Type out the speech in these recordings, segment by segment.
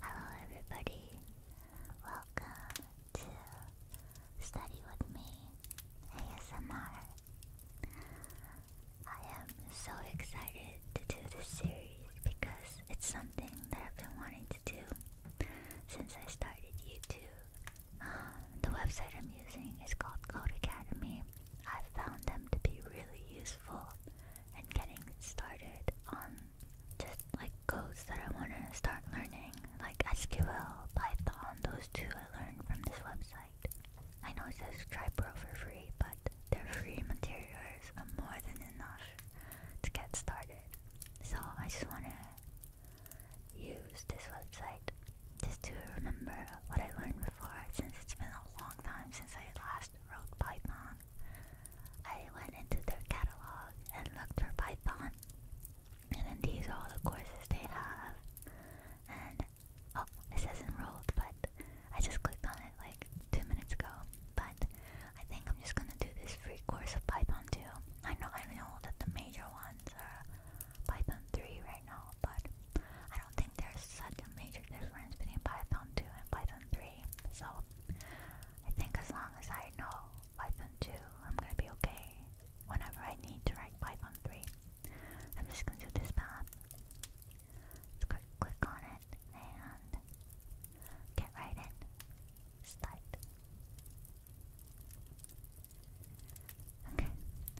Hello, everybody. Welcome to Study with Me ASMR. I am so excited to do this series because it's something that I've been wanting to do since I started YouTube. Um, the website I'm using is called Code Academy. I found them to be really useful and getting started on just like codes that I want to start learning, like SQL, Python, those two I learned from this website. I know it says try pro for free, but their free materials are more than enough to get started. So I just want to use this website just to remember what I learned before since it's been a long time since I last wrote Python I went into their catalog and looked for Python, and these are all the courses they have. And oh, it says enrolled, but I just clicked on it like two minutes ago. But I think I'm just gonna do this free course of Python too. I know I know that the major ones are Python 3 right now, but I don't think there's such a major difference between Python 2 and Python 3. So I think as long as I know Python 2, I'm gonna be okay. Whenever I need to write Python 3, I'm just gonna do this path. click, on it and get right in. Start. Okay,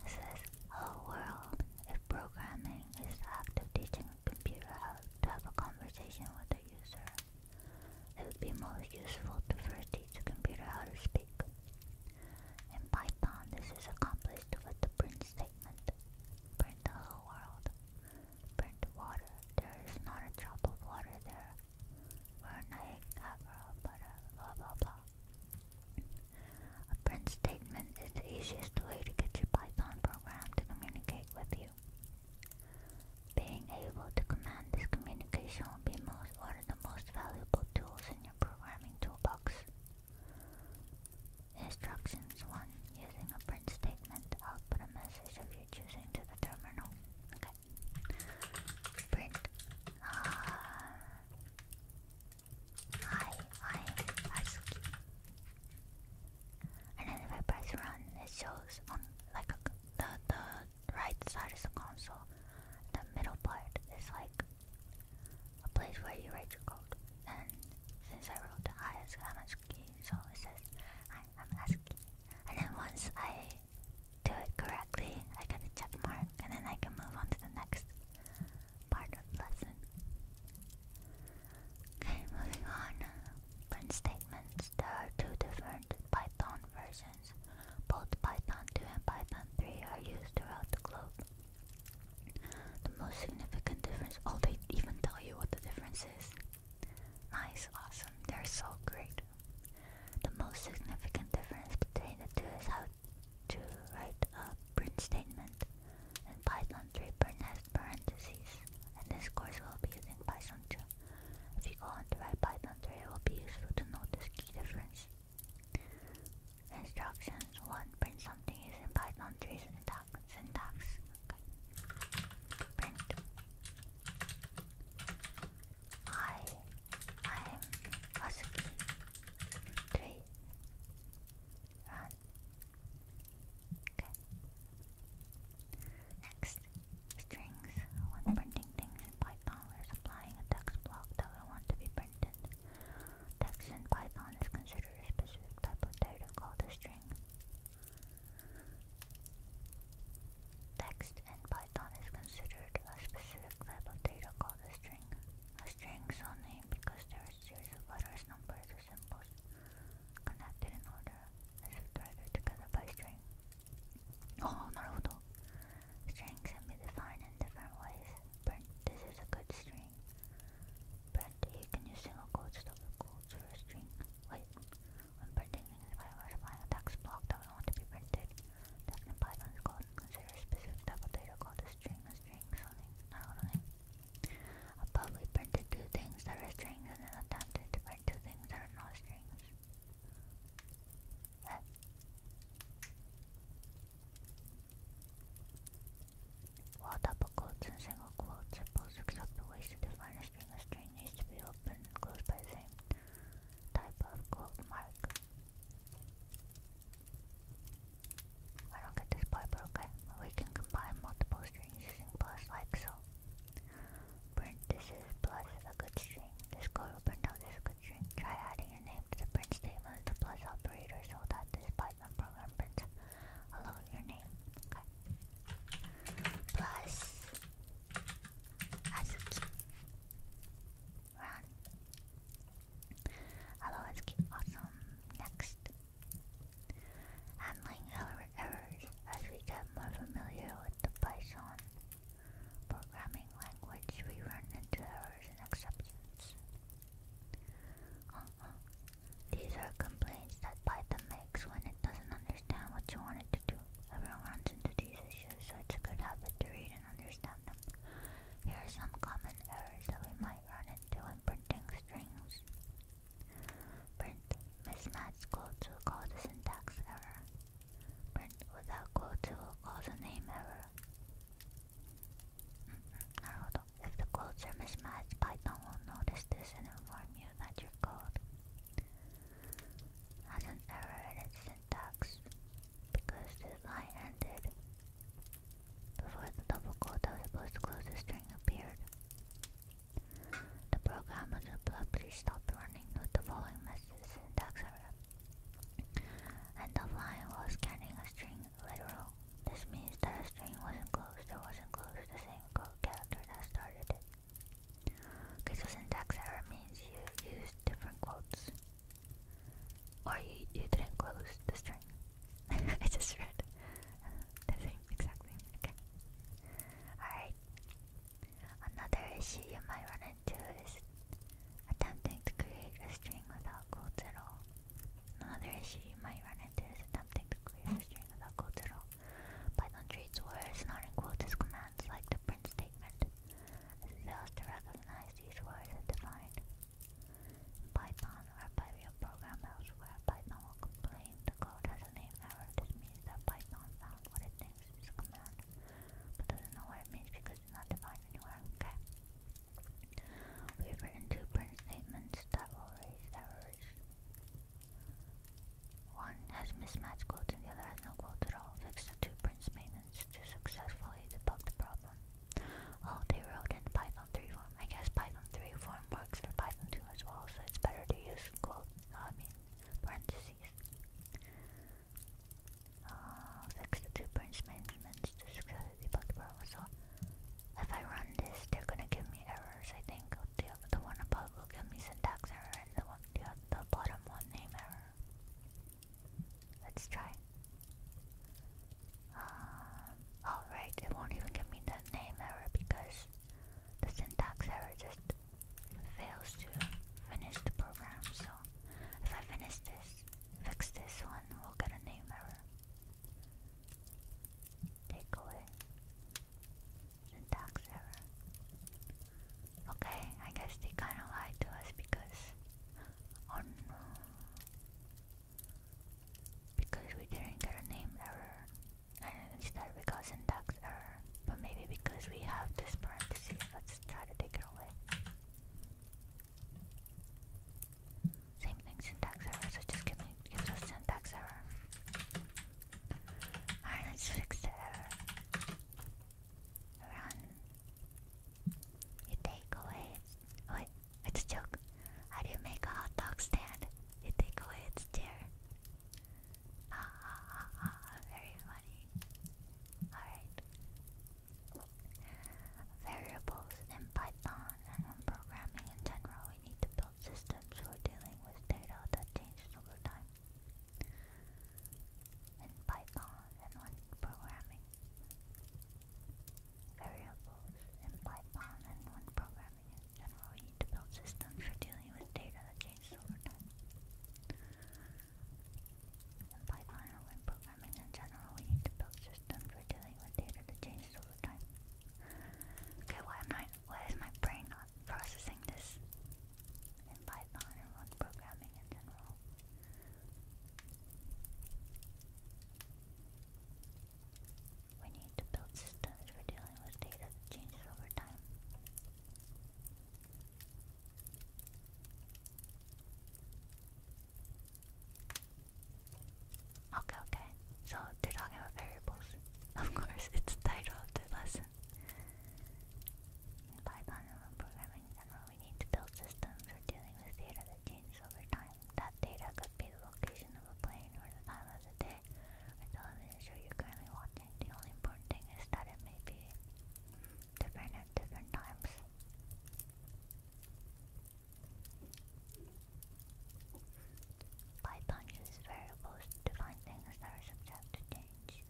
this is whole world. If programming is the act of teaching a computer how to have a conversation with a user, it would be most useful to first teach the computer how to speak. In Python, this is accomplished with the print statement. Print the world. Print water. There is not a drop of water there. We're blah blah blah. A print statement is the easiest way to get your Python program to communicate with you. Being able to command this communication will be most, one of the most valuable tools in your programming toolbox. Instructions 1. Using a print statement, output a message of your choosing to the terminal. Okay. Print. Uh, I, I, ASCII and then if I press run, it shows on like the the right side is the console, the middle part is like a place where you write your code. And since I wrote I I'm ASCII, so it says I am asking." And then once I do it correctly, I get a check mark, and then I can move on to the next part of the lesson. Okay, moving on. Print statements. There are two different Python versions. Both Python 2 and Python 3 are used throughout the globe. The most significant difference, oh, they even tell you what the difference is. Nice, awesome, they're so great. The most significant difference between the two is how to write a print statement. In Python 3, parentheses, and this course will be using Python 2. If you go on to write Python 3, it will be useful to know this key difference. Instructions 1. Print something using Python 3 syntax. syntax. Okay. Print. I am Asuki. 3. Run. Okay. Next, Strings. When printing things in Python, we're supplying a text block that we want to be printed. Text in Python is considered a specific type of data called a string. Text in Python is considered a specific type of data called a string. A string is so named because there are a series of letters, numbers, or symbols connected in order as further together by string. Oh, Strings can be defined in different ways, but this is a good string. But you can use single quotes, double quotes for a string. Wait, when printing means fibers applying a text block that we want to be printed, that in Python is called consider a specific type of string, a string, something, not only. Above we printed two things that are strings and then attempted two things are no strings. Huh. double quotes and single quotes are both acceptable ways to define a string, a string needs to be opened and closed by the same type of quote mark. I don't get this part, okay. We can combine multiple strings using plus like so. Print, this is plus a good string. This code will print out this good string. Try adding your name to the print statement with the plus operator so that this Python program prints hello your name. Okay. Plus ASCII. Run. Hello ASCII. Awesome. Next. Handling error numbers as we get more familiar with the Python programming language we run into errors and exceptions. Uh -huh. These are complaints that Python makes when it doesn't understand what you want it to do. Everyone runs into these issues, so it's a good habit to read and understand them. Here are some common errors that we might run into when printing strings. Print mismatched quote to will cause a syntax error. Print without quote to will cause a name error. Mm-hmm. If the quotes are mismatched, Python will notice this and inform you that your code has an error in its syntax because the line ended before the double quote that was supposed to close the string appeared. The program was abruptly stopped running with the following message syntax error. And the line was scanning a string literal. This means that a string wasn't closed or wasn't closed the same code character that started it. This so syntax error means you used different quotes. Or you, you didn't close the string. It's just read the same exact Okay. Alright. Another issue you might run into is attempting to create a string without quotes at all. Another issue you might run into is attempting to create a string without quotes at all. Python treats words not in quotes as commands like the print statement. It fails to recognize these words as defined. Python or by real program elsewhere, Python will complain the code has a name error. This means that Python found what it thinks seems to come out, but doesn't know what it means because it's not defined anywhere. Okay. We've written two print statements that will raise errors. One has mismatched quotes and the other has no quotes at all. Fix the two print statements to successfully debug the problem. Oh, they wrote in Python 3 form. I guess Python 3 form works for Python 2 as well, so it's better to use quote, I mean, parentheses. Uh, the two branch managements to successfully debug the problem. So if I run this, they're gonna give me errors. I think the the one above will give me syntax error, and the one the, bottom one name error. Let's try. Um, all right, it won't even give me that name error because the syntax error just fails to finish the program. So if I finish this, fix this one, we'll get a name error. Take syntax error. Okay, I guess they kind of lied to us because oh because we didn't get a name error. I don't know if it's that because syntax error, but maybe because we have this parenthesis. Let's try to take it away. Same thing, syntax error, so just give me gives us syntax error. Alright, let's fix the Run. You take away oh, wait, it's a joke. How do you make hot dog stand? You take away its chair. Ah, ah, very funny. Alright. Variables in Python and in programming in general, we need to build systems for dealing with data that changes over time. In Python and when programming. Variables in Python and when programming in general, we need to build systems for dealing with data that changes over time. In Python or programming in general, we need to build systems for dealing with data that changes over time. Okay, why am I? Why is my brain not processing this? In Python or programming in general. We need to build systems for dealing with data that changes over time. Okay, okay. So they're talking about variables. Of course, it's the title of the lesson. In Python and programming in general, we need to build systems for dealing with data that changes over time. That data could be the location of a plane or the time of the day or television show you currently watching. The only important thing is that it may be different at different times. Python uses variables to find things that are subject to change.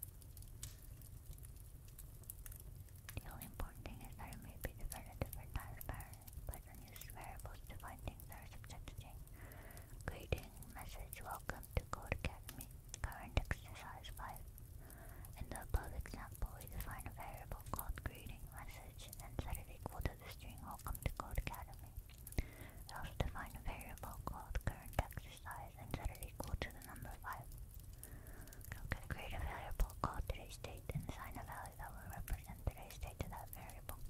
The only important thing is that it may be different at different times. Python uses variables to find things that are subject to change. Greeting message welcome to Code Academy. Current exercise 5. In the above example, we define a variable called greeting message and set it equal to the string welcome to Code Academy. also define a variable called current exercise and set it equal to the number 5. Okay, create a variable called today's date and assign a value that will represent today's date to that variable.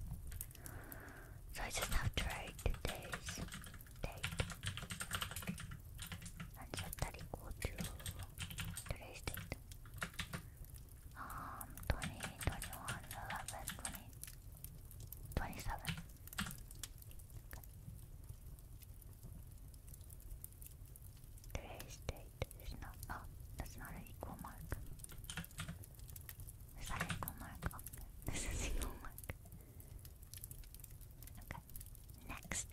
So I just have to write today's Tape. And should that equal to today's Um, 20, 21, 11, 20, is not. Oh, that's not an equal mark. Is equal mark? This is equal mark. Okay. Next.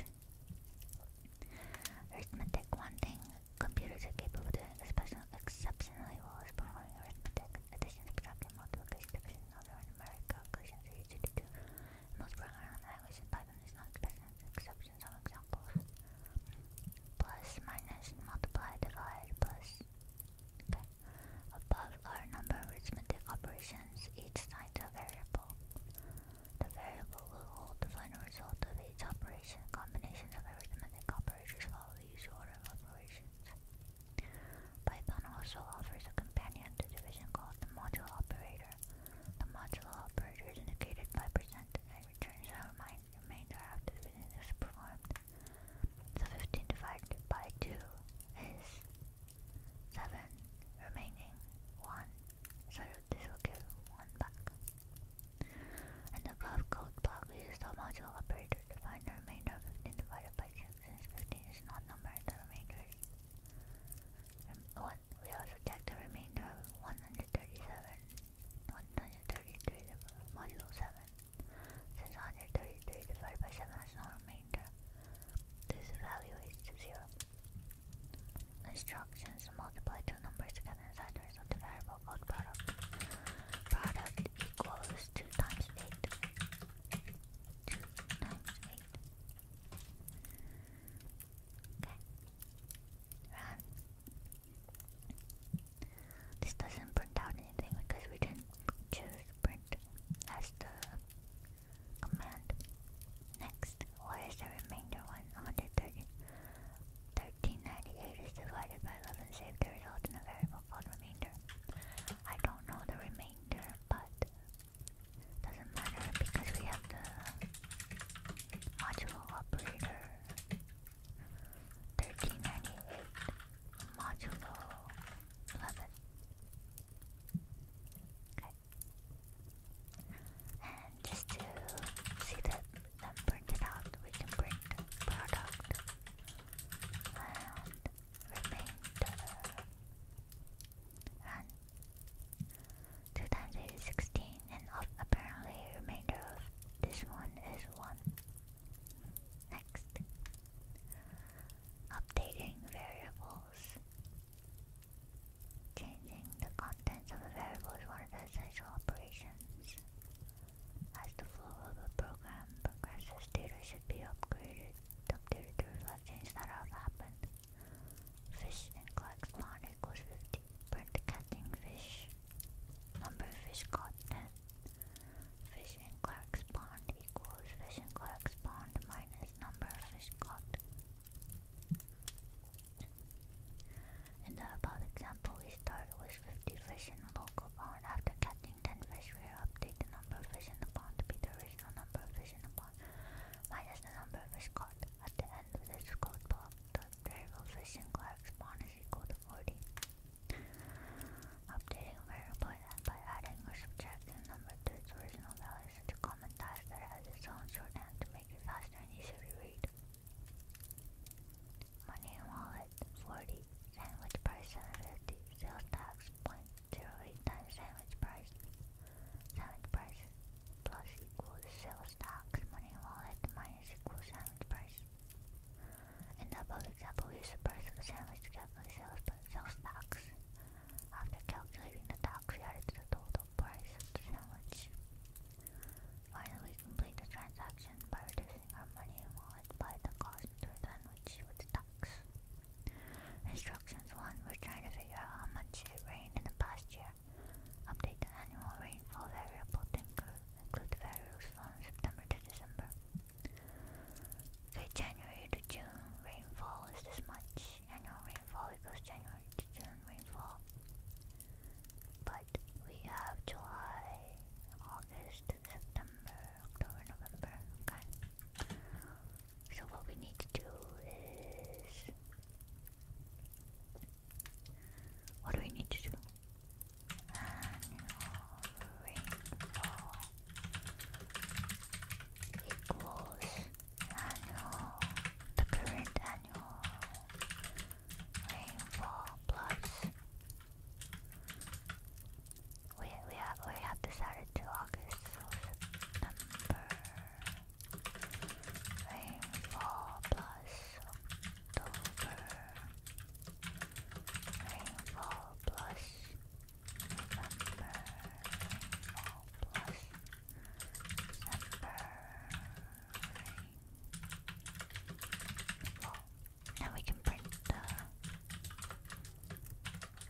Arithmetic wanting computers are capable of doing especially exceptionally well as performing arithmetic, addition, subtraction, multiplication, division, other and numeric calculations are easy Most programming languages in Python is not special exception some examples. Plus, minus, multiply, divide, plus Okay. Above or number of arithmetic operations each times a variable. The variable will hold the final result of each operation. Combination of arithmetic operators follow the usual order of operations. Python also offers a companion to division called the modulo operator. The modulo operator is indicated by and returns the remainder after division is performed. So 15 divided by 2 is seven remaining, one, so this will give one back. And the above code block uses the module operator to find the remainder of 15 divided by 6 since 15 is an odd number and the remainder is one. We also check the remainder of 137, 133 module 7 since 133 divided by 7 has no remainder. This value is zero. Instructions multiply two numbers together insiders of the variable called product. Product equals two times eight. Two times eight. Okay. Run. This doesn't print out anything because we didn't choose print as the amount. Next, what is the remainder one? 130. 1398 is divided by 11, save the result in a variable called remainder. I don't know the remainder, but doesn't matter because we have the modulo operator. 1398 modulo 11. Okay. And just to see that them printed out, we can print product and remainder and 2 times 8 is 16 and apparently remainder of this one is 1. Next, updating variables. Changing the contents of a variable is one of the essential operations. As the flow of a program progresses, data should be upgraded, updated to reflect changes that have happened. Fish in Clark's pond equals 50. Print catching fish. Number of fish caught net. Fish in Clark's pond equals fish and cork minus number of fish caught. In the above example, we start with 50 fish in a local pond. After catching 10 fish, we update the number of fish in the pond to be the original number of fish in the pond minus the number of fish caught. At the end of this code block, the variable fish in Clark spawn is equal to 40. Updating a variable by adding or subtracting a number to its original value, such a common type that has its own shorthand to make it faster and easier to read. Money in wallet, 40. Sandwich price, 750. Sales tax, 0.08 times sandwich price. Sandwich price plus equals sales tax. Money in wallet minus equals sandwich price. In the above example, use the price of a sandwich to calculate sales, sales tax. After calculating the tax, we added the total price of the sandwich. Finally, we complete the transaction by reducing our money in by the cost of the sandwich with the tax. Instructions 1. We're trying to figure out how much it rained in the past year. Update the annual rainfall variable to include, include the values from September to December. Okay, January to June rainfall is this much channel rainfall because January to June rainfall. But we have July, August, September, October, November. Okay. So what we need to do is what do we need to do? Annual rainfall equals annual, the current annual rainfall plus. We we have we have decided to August September rainfall plus October rainfall plus November rainfall plus well, now we can print the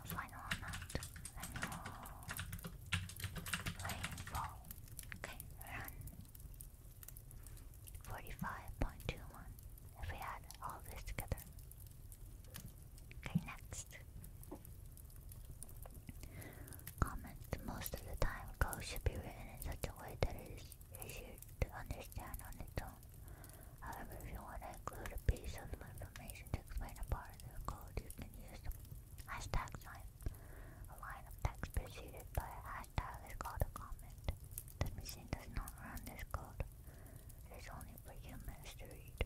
final amount and we Okay, run. 45.21 if we add all this together. Okay, next. Comments most of the time code should be written in such a way that it is easier to understand on its own. However, if you want to include a piece of information to explain a part of the code, you can use the hashtag sign. A line of text preceded by a hashtag is called a comment. The machine does not run this code. It is only for humans to read.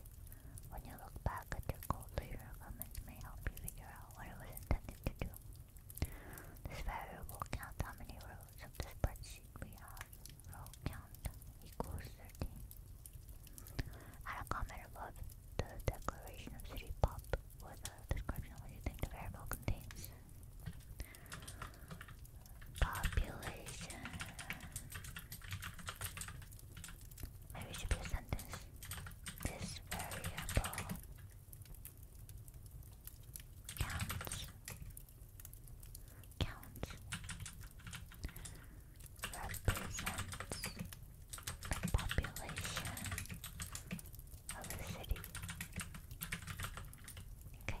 When you look back at your code later, comments may help you figure out what it was intended to do. This variable counts how many rows of the spreadsheet we have. Row count equals 13. Add a comment above the declaration of city with a description of what you think the variable contains. Population Maybe it should be a sentence. This variable counts. Counts. Represents the population of a city. Okay.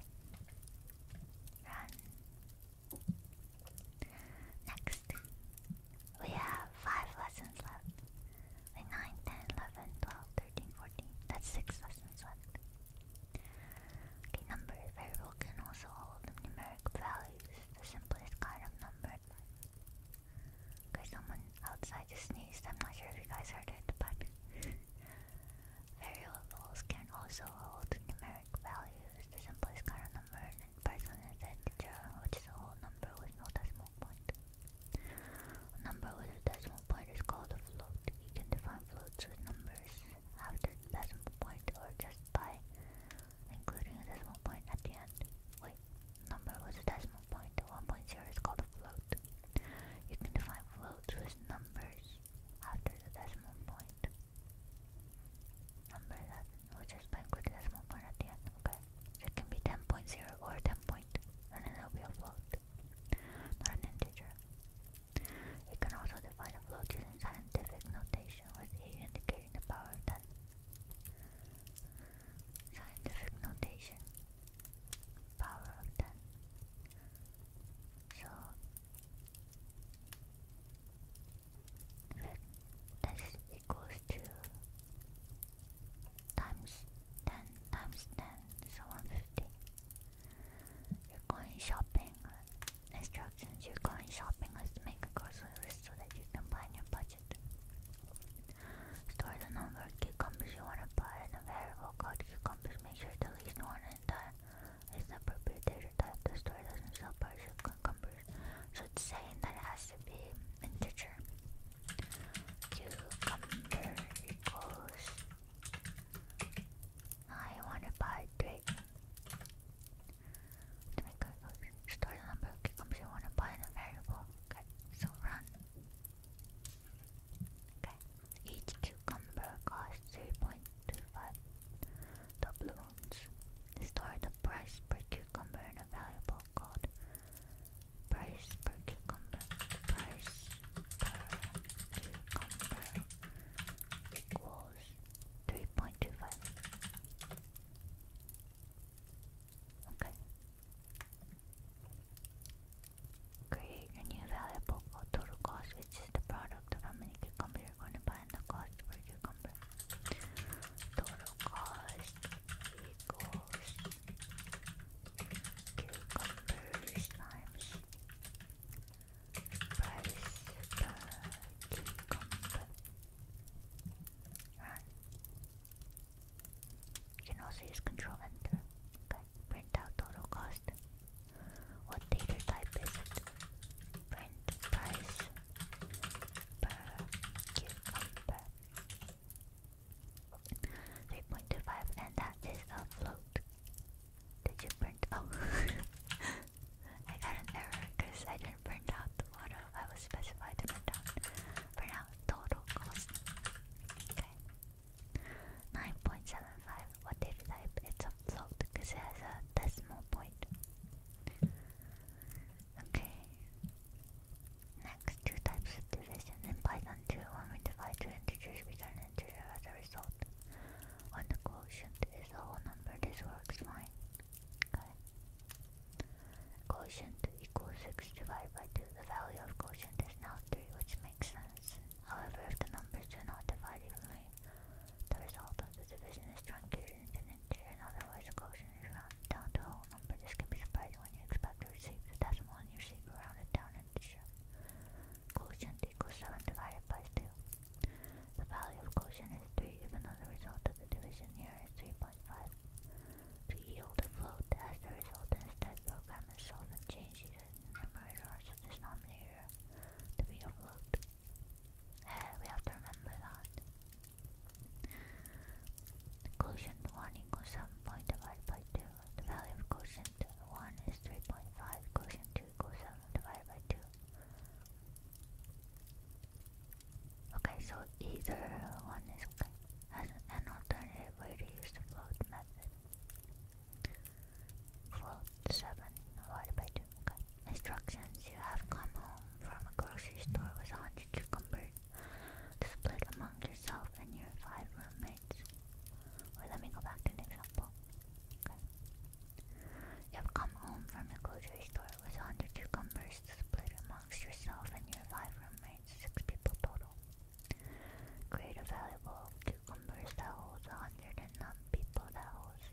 Run. Next, we have 5 lessons left. We have That's 6 lessons left. Okay, number variable can also hold numeric values. The simplest kind of number. Okay, someone outside just sneezed. I'm not sure if you guys heard it, but variables can also hold numeric values. The simplest kind of number person is integer, which is a whole number with no decimal point. number with a decimal point is called a float. You can define floats with numbers after the decimal point or just by including a decimal point at the end. Wait, number with a decimal point, 1.0 is called a float. You can define floats with numbers after the decimal point. Number that which is microdecimal point at the end, okay? it can be 10.0 or 10 point, and then it'll be a float, not an integer. You can also define a float using scientific notation with a indicating the power of 10. Scientific notation, power of 10. So, this Goes to times 10 times 10, so 150. You're going shopping. Instructions You're going shopping Let's make a grocery list so that you can plan your budget. Store the number of cucumbers you want to buy in a variable called cucumbers. Make sure at least one in time is appropriate type. The store doesn't sell partial cucumber so it's saying that it has to be integer. Cucumber equals I wanna buy three. To make a store the number of cucumbers you wanna buy in a variable. so run. Okay. Each cucumber costs 3.25 doubloons. Store the price per cucumber in a variable god. Price per cucumber. Price per cucumber equals 3.25. Okay. Create a new variable called total cost, which is the product of how many cucumbers you're going to buy and the cost per cucumber. Total cost cucumbers, limes, rice, uh, cucumber. Run. You can also use Control Enter. print out total cost. What data type is it? Print price per cucumber. 3.25 and that is a float. Did you print? Oh, I got an error because I didn't print out the model I was specified to print out. Print out total cost. Okay. 9.75. What did you type? It's a float because it has a decimal point. Okay. Next, two types of division. In Python 2, when we divide two integers, we get an integer as a result. When the quotient is a whole number, this works fine. Quotient equals 6 divided by 2. The value of quotient is now 3, which makes sense. However, if the numbers do not divide evenly, the result of the division is truncated integer, in other quotient is rounded down to whole number. This can be surprising when you expect to receive the decimal in your secret rounded down integer. Quotient equals 7 divided by 2. The value of quotient is 3, even though the result of the division here is 3.5. To yield a float as the result, instead program is change the numerator or the denominator to be a float. we have to remember that. The quotient one equals 7.5 divided by 2. The value of quotient 1 is 3.5. Quotient 2 equals 7 divided by 2. Okay, so either one is okay. As an alternative way to use the float method. Float 7 divided by 2. Okay. Instructions You have come home from a grocery store with 100 cucumbers, Split among yourself and your five roommates. Wait, let me go back to an example. Okay. You have come home from the grocery store with 100 cucumbers to split amongst yourself and your five roommates, six people total. Create a valuable cucumbers that holds 100 and none people that holds.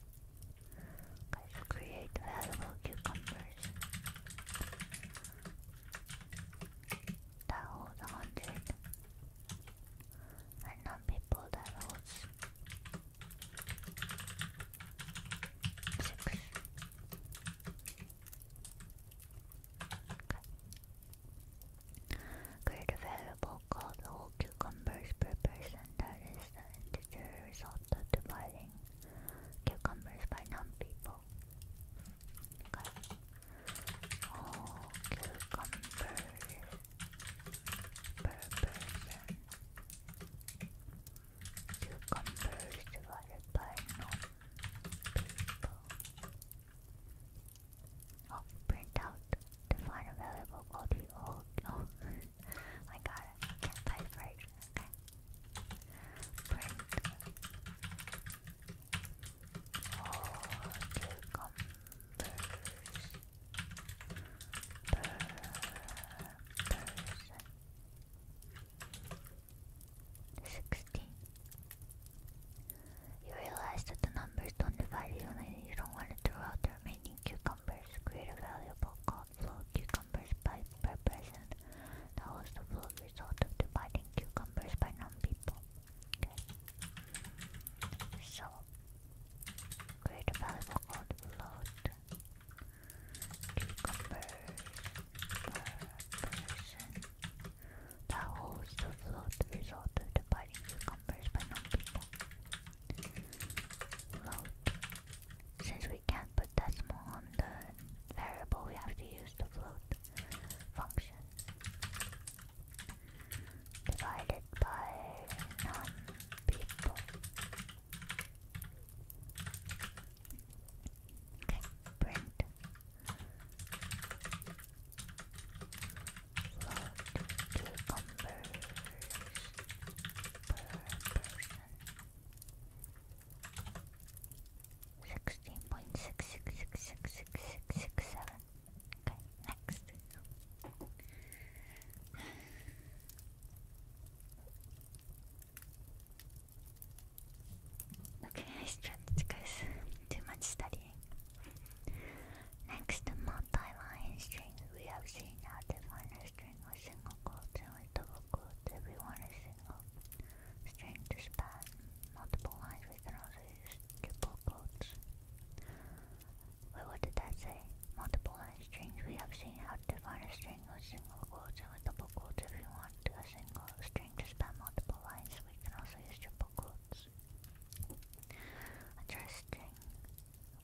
Okay, so create valuable cucumbers. That holds a hundred. people that holds six. Create a variable called whole cucumbers per person that is the integer result of dividing cucumbers by non-people. Oh, cucumber. Burr, burr, burr. Cucumbers divided by no people. Oh, print out. Define available quality. Oh, no. I got I can't type right. Print. Oh, cucumbers. Per person. Sixteen. You realize that the numbers don't divide evenly. you don't want to throw out the remaining cucumbers. Create a valuable called float cucumbers by per person. That was the full result of dividing cucumbers by non-people. So, create variable called float. Cucumbers per person. That holds the float result of dividing cucumbers by non-people. Float. Since we can't put decimal on the variable we have to use the float function divided by non-people. Okay, print float cucumbers per sixteen point six six six six six six six seven. Okay, next. Okay, I stretched because too much studying. Next, multi-line strings. We have seen how to find a string with single quotes and with double quotes. Everyone is single. Strange to span, multiple lines with roses, triple quotes. Wait, what did that say? Multiple line strings. We have seen how to define a string with single quotes and with double quotes. If you want a single string to span multiple lines, we can also use triple quotes. Interesting.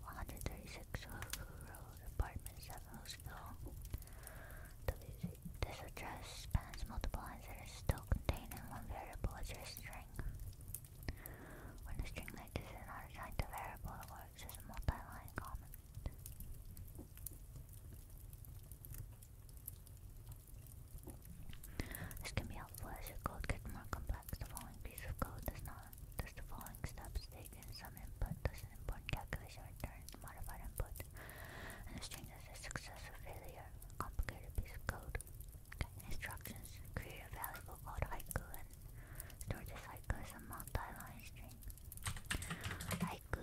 136 Hulu Road, apartment 7 Hillsville. This address spans multiple lines that are still contained in one variable as your string. When a string like this is assigned to variable, it works as a multi comment. This can be helpful as your code gets more complex. The following piece of code does not does the following steps taken. Some input does an important calculation return modified input. And the string is a success or failure, complicated piece of code. Instructions create a valuable called haiku and store this haiku as a multi string. Haiku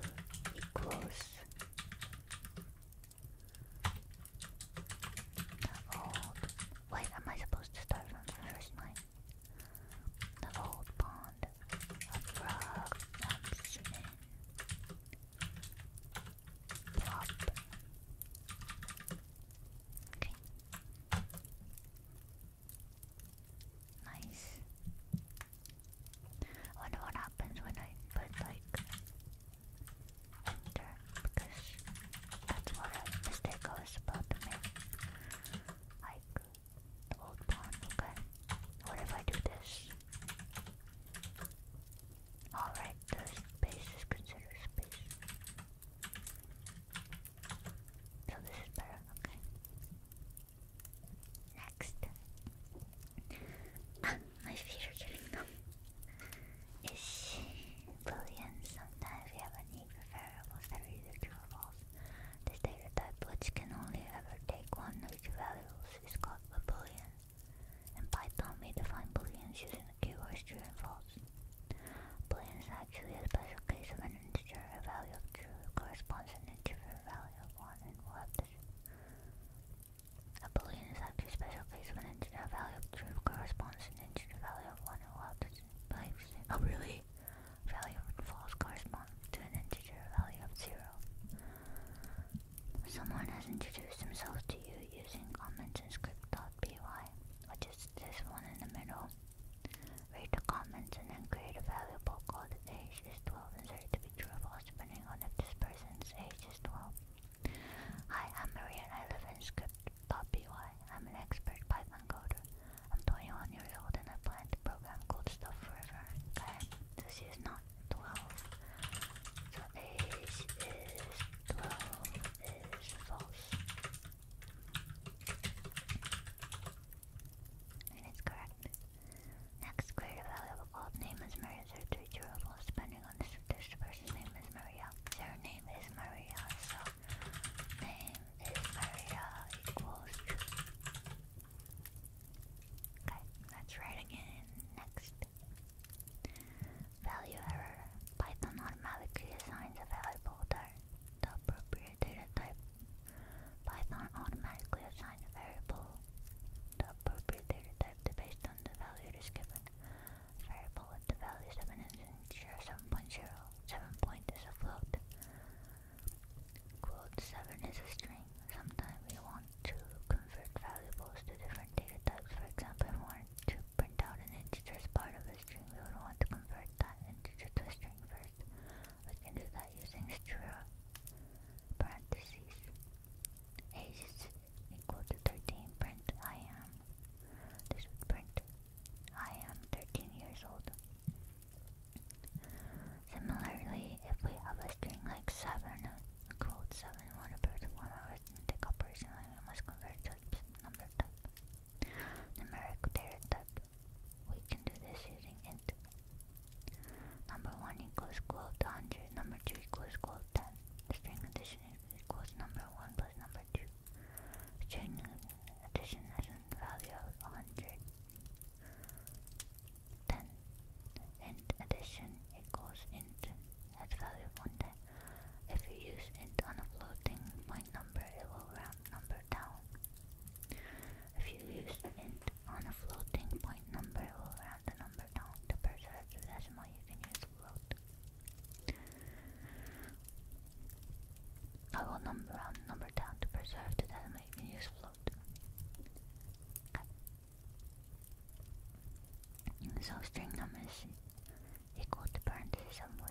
equals the old wait, am I supposed to start from the first line? The old pond of frog jumps in. Nice. I wonder what happens when I put like enter because that's what mistake was about to make. Like the old pawn, okay. What if I do this? Alright, the space is considered space. So this is better, okay. Next. Ah, my feet are getting numb. Is she Sometimes we have a need for variables that are either true or false. This data type, which can only ever take one of two values, is called a boolean. In Python, we define booleans using the keywords true and false. Boolean is actually a special case of an integer. A value of true corresponds to an integer value of 1 and we A boolean is actually a special case of an integer. value of true corresponds to an integer value of 1 and we Oh, really? Value of false corresponds to an integer value of 0. Someone has introduced themselves to you using comments in script.py, which is this one in the middle. Read the comments and then create a variable called age is 12 inserted to be true or false depending on if this person's age is 12. Hi, I'm Maria and I live in script.py. I'm an expert Python coder. I'm 21 years old and I plan to program cool stuff forever. Okay? This is not twelve. So age is twelve is false. And it's correct. Next greater value of called name is Maria Zero two false depending on this this person's name is Maria. Their name is Maria, so name is Maria equals Okay, let's again. Next Value error. Python automatically assigns a value folder the appropriate data type. Python automatically assigns a variable the appropriate data type to based on the value it is given. A variable with the value 7 is integer 7.0. 7 point is a float. Quote 7 is a string. Sometimes we want to convert valuables to different data types. For example, if we want to print out an integer as part of a string, we would want to convert that integer to a string first. We can do that using str parentheses. Age is equal to 13, print I am. This would print I am 13 years old. Similarly, if we have a string like 7, a 7 1 appeared in one arithmetic operation we must convert to number type. Numeric data type. We can do this using int. Number 1 equals equal to 100, number 2 equals equal to 10. string addition equals number 1 plus number 2. String addition has a value of 100. 10. Int addition equals int at value one day. If you use int on a floating point number, it will round number down. If you use it on a floating point number, it will round the number down. To preserve the decimal, you can use float. I will number round number down to preserve the decimal. You can use float. So string numbers equal to parentheses 7.5,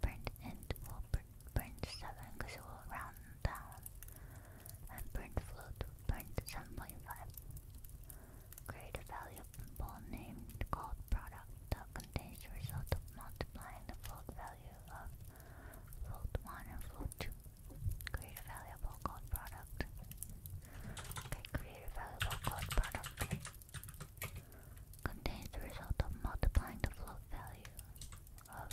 print int print 7 because it will round down, and print float print 7.5. Create a valuable named called product that contains the result of multiplying the float value of float 1 and float 2. Create a valuable called product Okay, create a valuable code product. Contains the result of multiplying the float value of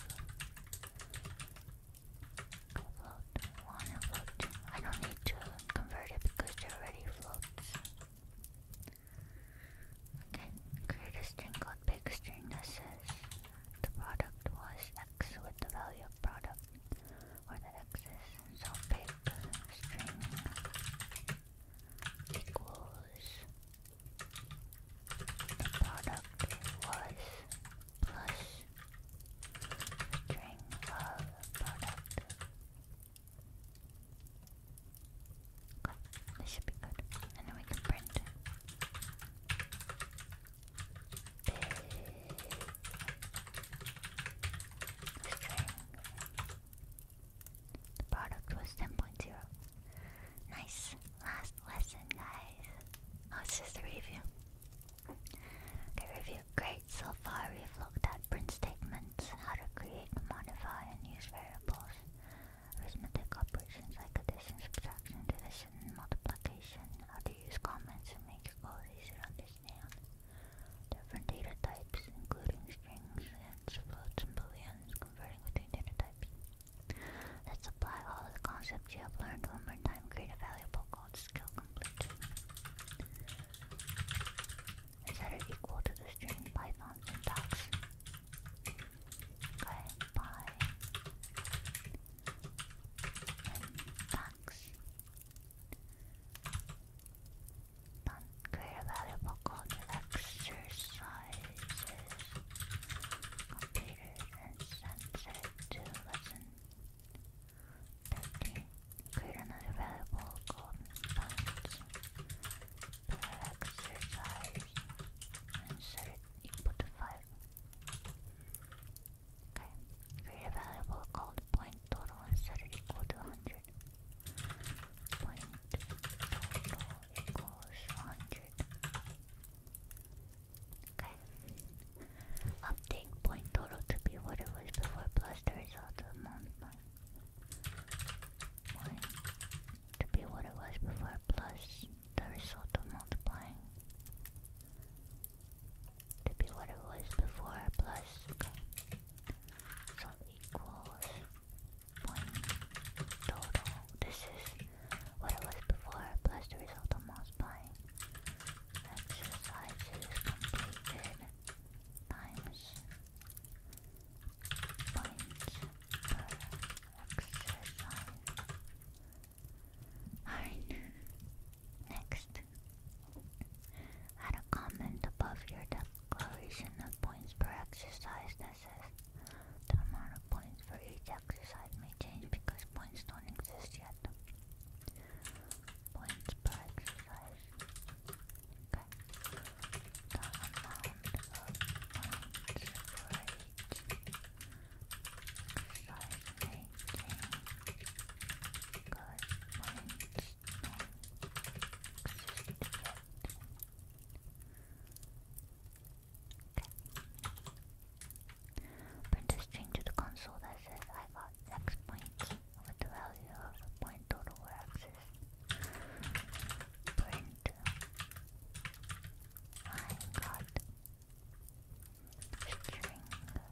float 1 and float 2. I don't need to convert it because they're already floats. Okay, create a string called big string that says the product was x with the value of product or that excess Zolpic string equals the product was plus string of product. this should be good. And then we can print the product was 10.0. Nice. Last lesson, guys. Oh, just a review. Okay, review. Great. So far, we've looked at print statements, how to create, modify, and use variables, arithmetic operations like addition, subtraction, division, multiplication, how to use comments to make your goals easier to understand different data types, including strings, hints, floats, and booleans, converting between data types. Let's apply all of the concepts you have learned one more time, create a valuable called skill complete. Is that equal to the string Python syntax? Okay, bye. Syntax. Unclear valuable called exercises. Computers and sensors to lesson 13. Create another valuable golden funds. Per exercise and set it Okay. Create a variable called point total and set it equal to 100. Point total equals 100. Okay. Update point total to be what it was before plus the result of amount to be what it was before plus the result of multiplying to be what it was before plus okay. equals one total. This is what it was before plus the result of multiplying. Exercises completed times points per exercise. Alright. Next, add a comment above your declaration of points per exercise that says the amount of points for each exercise may change because points don't exist yet. Points per exercise. Print a string to the console that says I got X points with the value of the point total axis. Print uh, I got string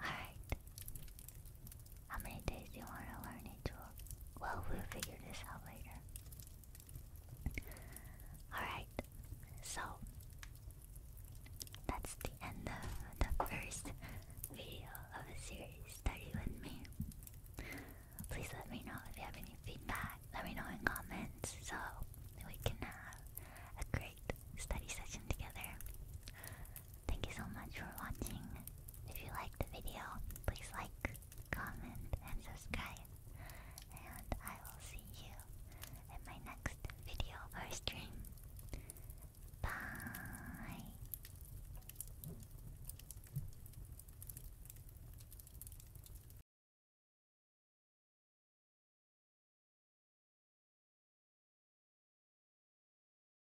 Alright. How many days do you want to learn each one? Well, we'll figure this out later. Alright, so that's the end of the first video of a series, Study With Me. Please let me know if you have any feedback. Let me know in comments so we can have a great study session together. Thank you so much for watching. If you like the video, please like, comment, and subscribe. And I will see you in my next video or stream. Bye.